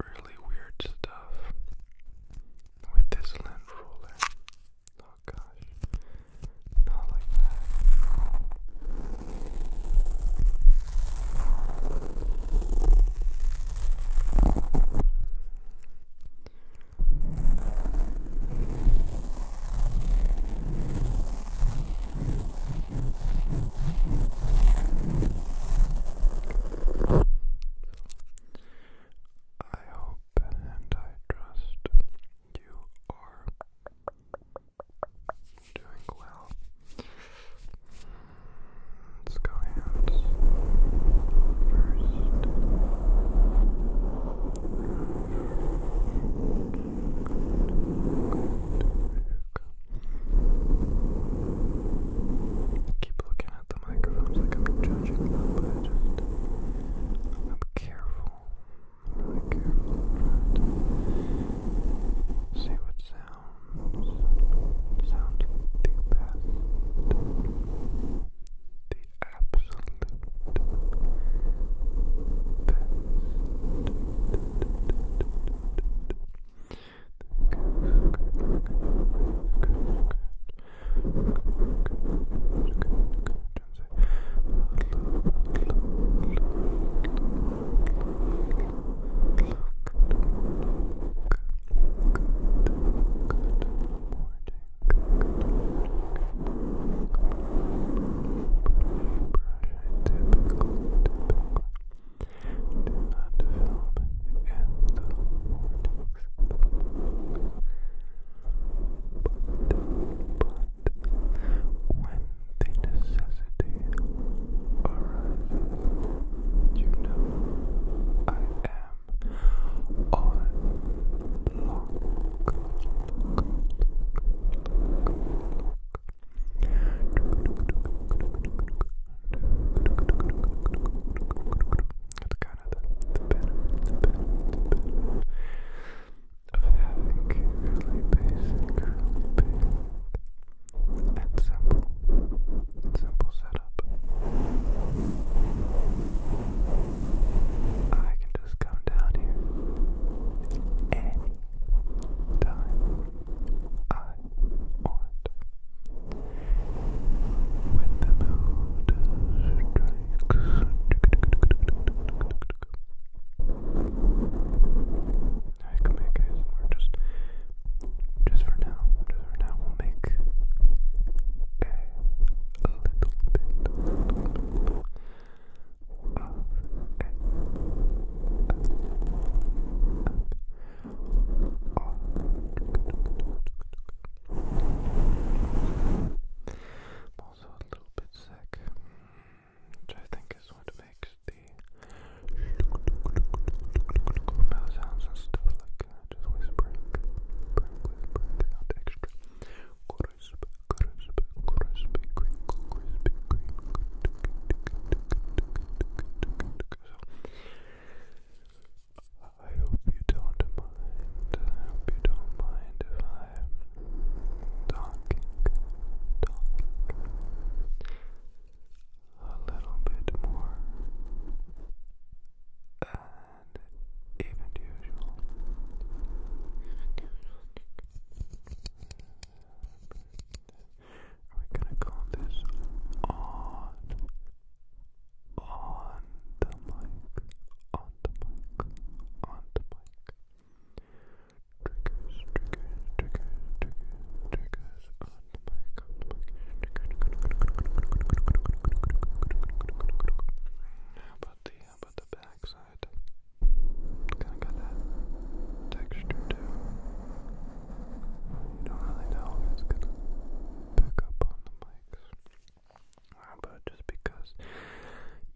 really weird stuff with this lint roller. Oh gosh, not like that. I hope and I trust you are doing well. Let's go hands first. Keep looking the microphones I'm not judging but I just I'm careful. really careful see what sounds sound the best. The absolute best. Typical, typical. Do not film in the morning. But when the necessity arises, you know I am on lock. That's kind of the, the benefit, the benefit, of having really basic, really big and simple setup. I can just come down here any time I want. When the mood strikes, I can make ASMR just, just for now. Just for now, we'll make a, a little bit, a little bit of a, a, a, a, I'm also a little bit sick, which I think is what makes the mouth sounds and stuff like uh, just whispering, whispering, whispering sound extra. Crisp, crisp, crispy, crinkle, crispy, crinkle. So, I hope you don't mind. I hope you don't mind if I'm talking, a little bit more and even usual. Are we gonna call this on? on the mic, on the mic, on the mic. Triggers, triggers, triggers, triggers, triggers on the mic, on the mic. How about the, how about the back side? Kinda got that texture too. You don't really know if it's going pick up on the mics. Ah, but just because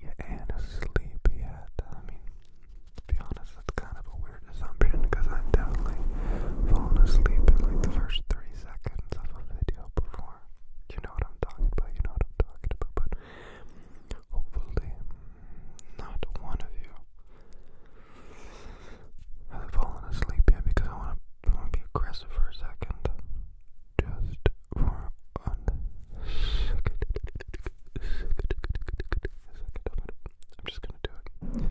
your aunt is sleepy I mean, to be honest, that's kind of a weird assumption because I'm definitely falling asleep in like the first three seconds of a video before. You know what I'm talking about, you know what I'm talking about, but hopefully mm, not one of you i fallen asleep yet because I want to be aggressive for a second. Just for one second. I'm just going to do it.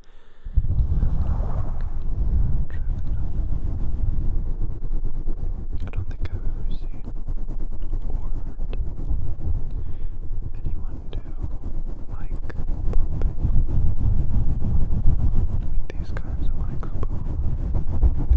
I don't think I've ever seen or heard anyone do mic pumping with these kinds of mics I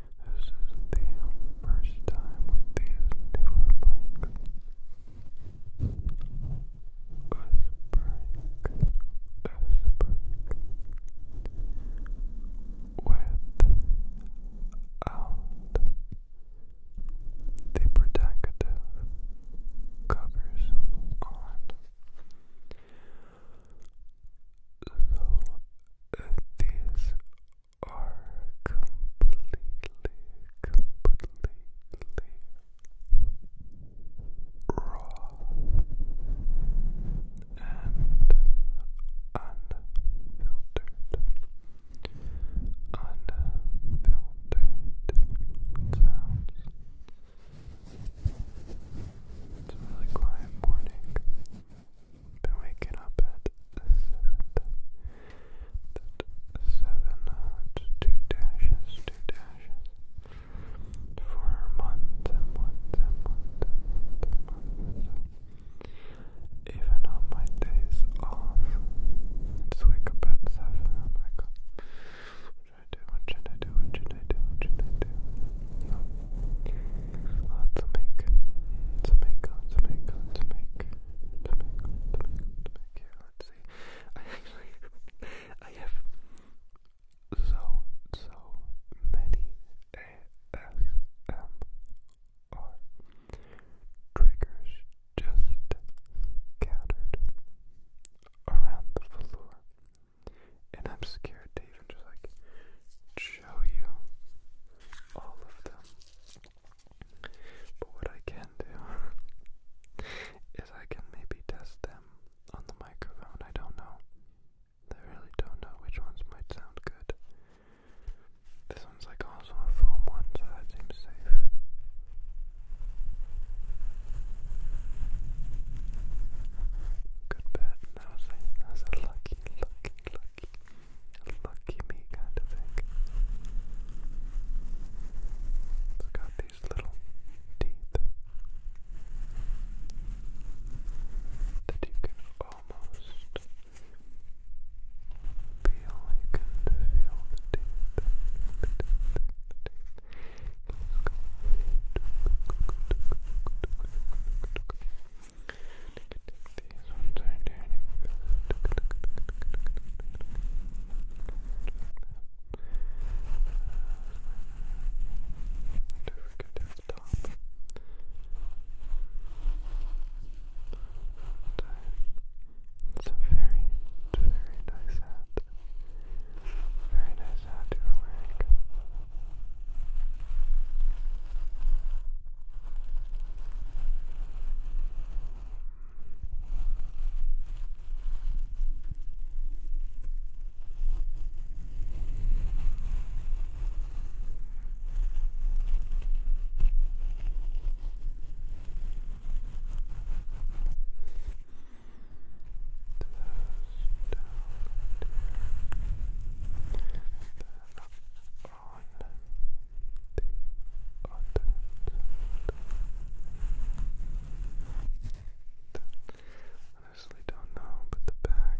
This is the first time with these newer mics. Whispering, whispering, without the protective covers on. So, uh, are completely, completely raw and unfiltered, unfiltered sounds. It's really quiet morning been waking up at seven. Uh, dashes, two dashes for months and months and months and months. even on my days off, just wake up at seven. I'm like, what should I do? What should I do? What should I do? What should I do? uh, to make, to make, uh, let's see. I actually, I have so, so many ASMR triggers just scattered around the floor. And I'm scared to even just like show you all of them. But what I can do is I can maybe test them on the microphone. I don't know. I really don't know which ones might sound good. This one's like also a foam one, so that seems safe. Good bet. That was a lucky, lucky, lucky lucky, lucky me kind of thing. It's got these little teeth that you can almost feel, these ones are turning Don't forget this top. It's a very, very nice hat. Very nice hat you are wearing. Down there, then up on the Honestly, don't know, but the back.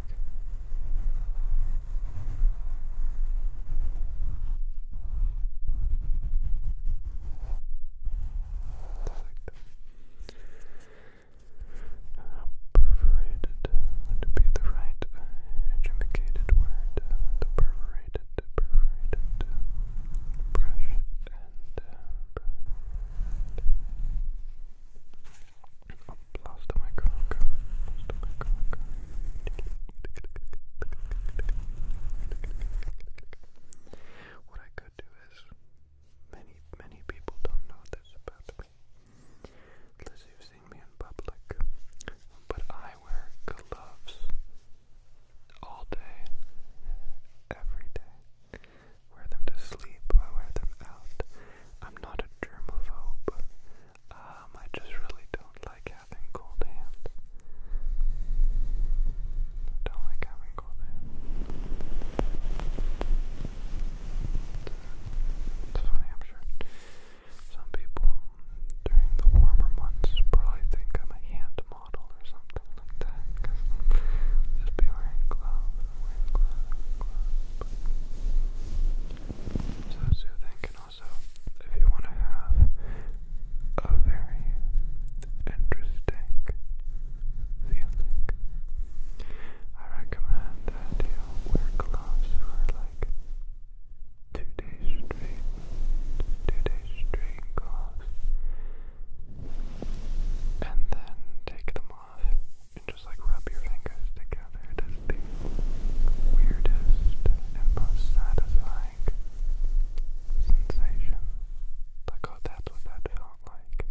Perforated would be the right educated word. The perforated, perforated brush and uh, brush. Oh, lost my cock. What I could do is, many, many people don't know this about me unless you've seen me in public. But I wear gloves all day, every day. Wear them to sleep, I wear them out. I'm not a germaphobe. Um, I just really don't like having cold hands. Don't like having cold hands. It's funny, I'm sure. Some people during the warmer months probably think I'm a hand model or something like that just be wearing gloves So soothing also, if you want to have a very interesting feeling, I recommend that you wear gloves two days straight, two days straight gloves, and then take them off and just like rub your fingers together. the weirdest and most satisfying sensation. Like, oh, that's what that felt like.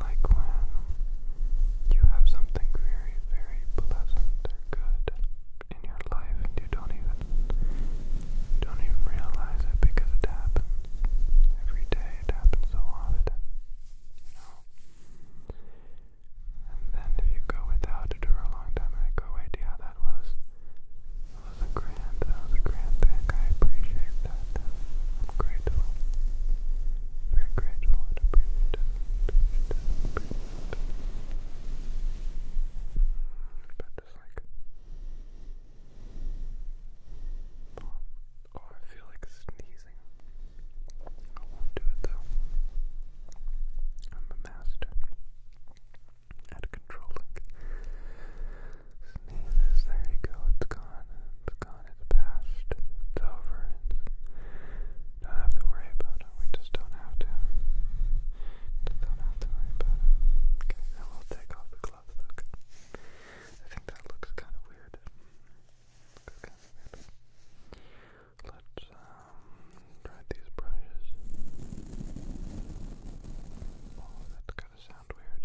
Like when you have something very, very pleasant or good in your life and you don't even don't even realize it because it happens every day, it happens so often, you know. And then if you go without it for a long time and I go, wait, yeah, that was that was a grand that was a grand thing. I appreciate that. I'm grateful. We're grateful to bring it down, But this like, oh, I feel like sneezing. I won't do it though. I'm a master at controlling sneezes. There you go. It's gone. It's gone, it's past, it's over, it's, don't have to worry about it, we just don't have to, just don't have to worry about it. Okay, I will take off the gloves though, I think that looks kind of weird. Looks kind of weird. Let's um, try these brushes. Oh, that's gonna sound weird.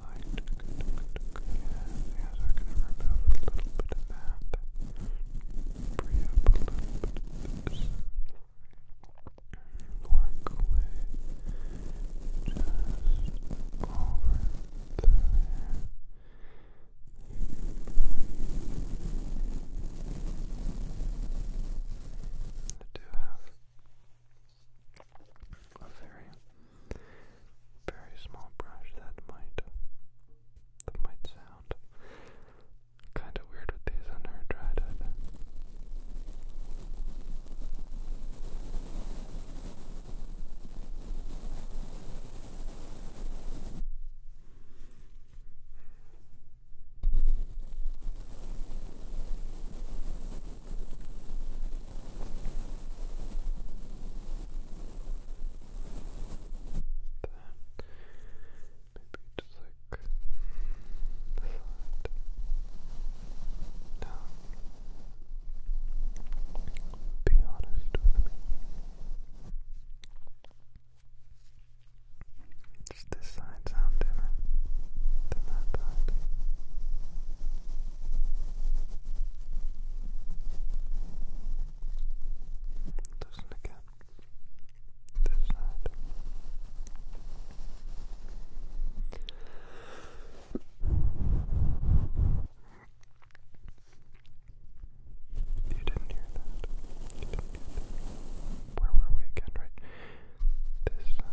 Light. Good, good, good. Yes, yes, we going to remove a little bit of that. Free a little bit of this. Work away. Just over there. I do have a very, very small brush that might, that might sound kind of weird with these on her dried head. All maybe just like no. Be honest with me. Does this side sound different than that side? Listen again. This side. You didn't hear that. Where were we again, right? This side.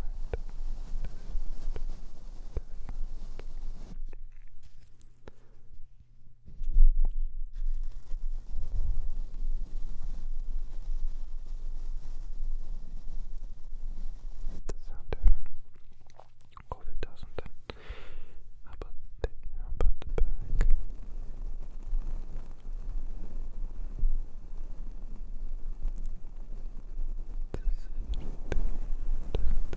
Does sound different? Or if it doesn't, then how about the, how about the back? Does it, does it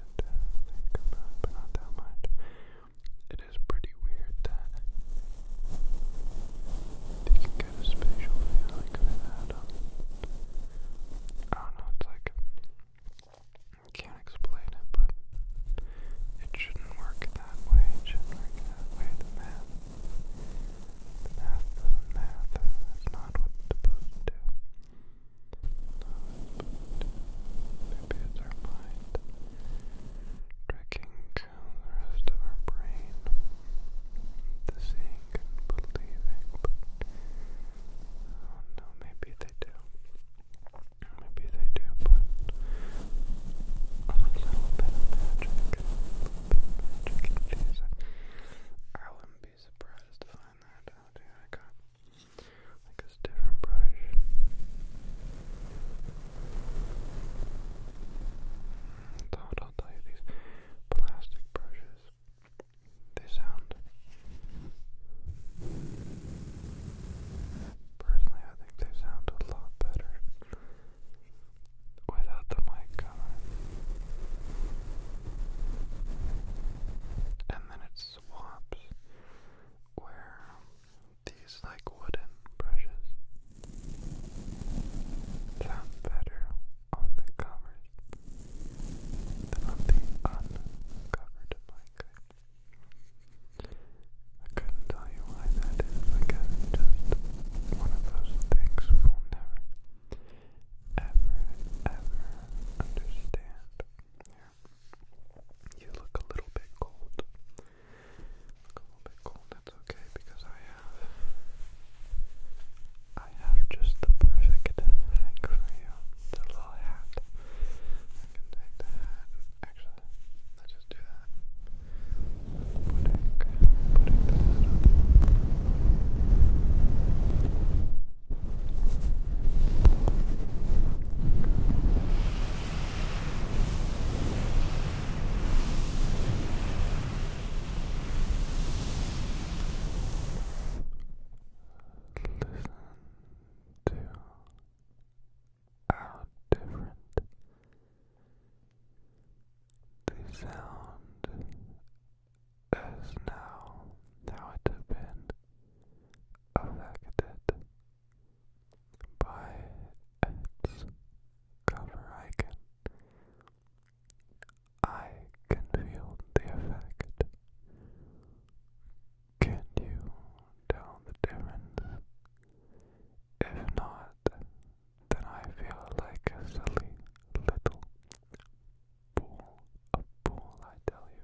but not that much. It is pretty weird that you can get a spatial feeling of an um, I don't know, it's like, I can't explain it, but it shouldn't work that way, it shouldn't work that way, the math, the math does math, that's not what it's supposed to do maybe it's our mind tricking the rest of our brain into seeing and believing, but oh no, maybe they do. Maybe they do, but a little bit of magic, a little bit magic in these. I wouldn't be surprised to find that out here. I got like a different brush. Mm, it's hard, I'll tell you, these plastic brushes, they sound. Personally, I think they sound a lot better without the mic cover. And then swamps where these like wooden brushes sound better on the covered than on the uncovered blanket. I couldn't tell you why that is, I just one of those things we'll never, ever, ever understand. Yeah. You look a little bit cold. a little bit cold. That's okay because I have. I have just the perfect thing for you. The little hat. I can take the hat. Actually, let's just do that. Putting, putting the on to how different the sound is now how it had been affected by its cover icon. I can feel the effect. Can you tell the difference? If not, then I feel like a silly little pool, a pool, I tell you.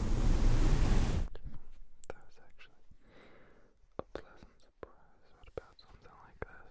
That was actually a pleasant surprise. What about something like this?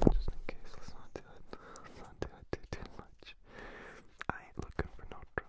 Just in case, let's not do it. Let's not do it too, too much. I ain't looking for no trouble.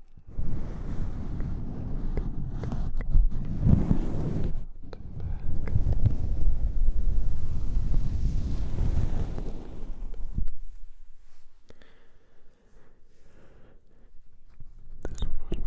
This one was my favorite. Because you can like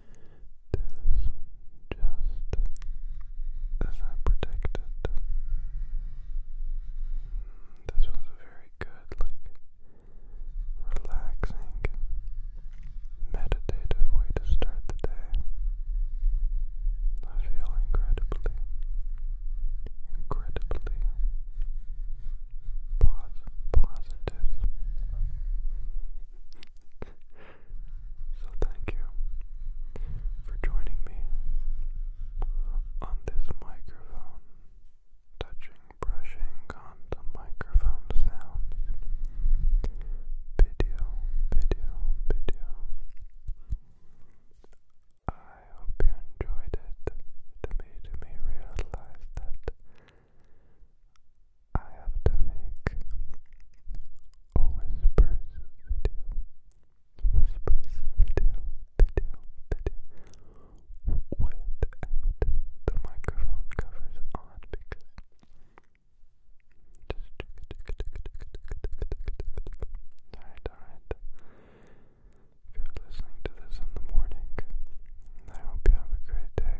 as I predicted. This was a very good, like, relaxing, meditative way to start the day. I feel incredibly, incredibly positive. So thank you for joining me on this microphone touching, brushing on the microphone sound video, video, video. I hope you enjoyed it. It made me realize that I have to make a whispers video. Whispers video, video, video without the microphone covers on because Alright, alright. If you're listening to this in the morning, I hope you have a great day.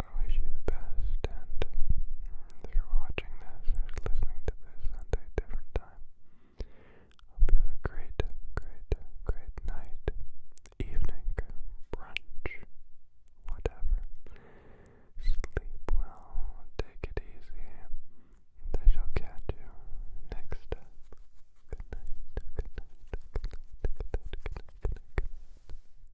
I wish you the best, and um, if you're watching this or listening to this at a different time, hope you have a great, great, great night, evening, brunch, whatever. Sleep well, take it easy, and I shall catch you next time. Good night, good night, good night, good night, good night, good night. Good night.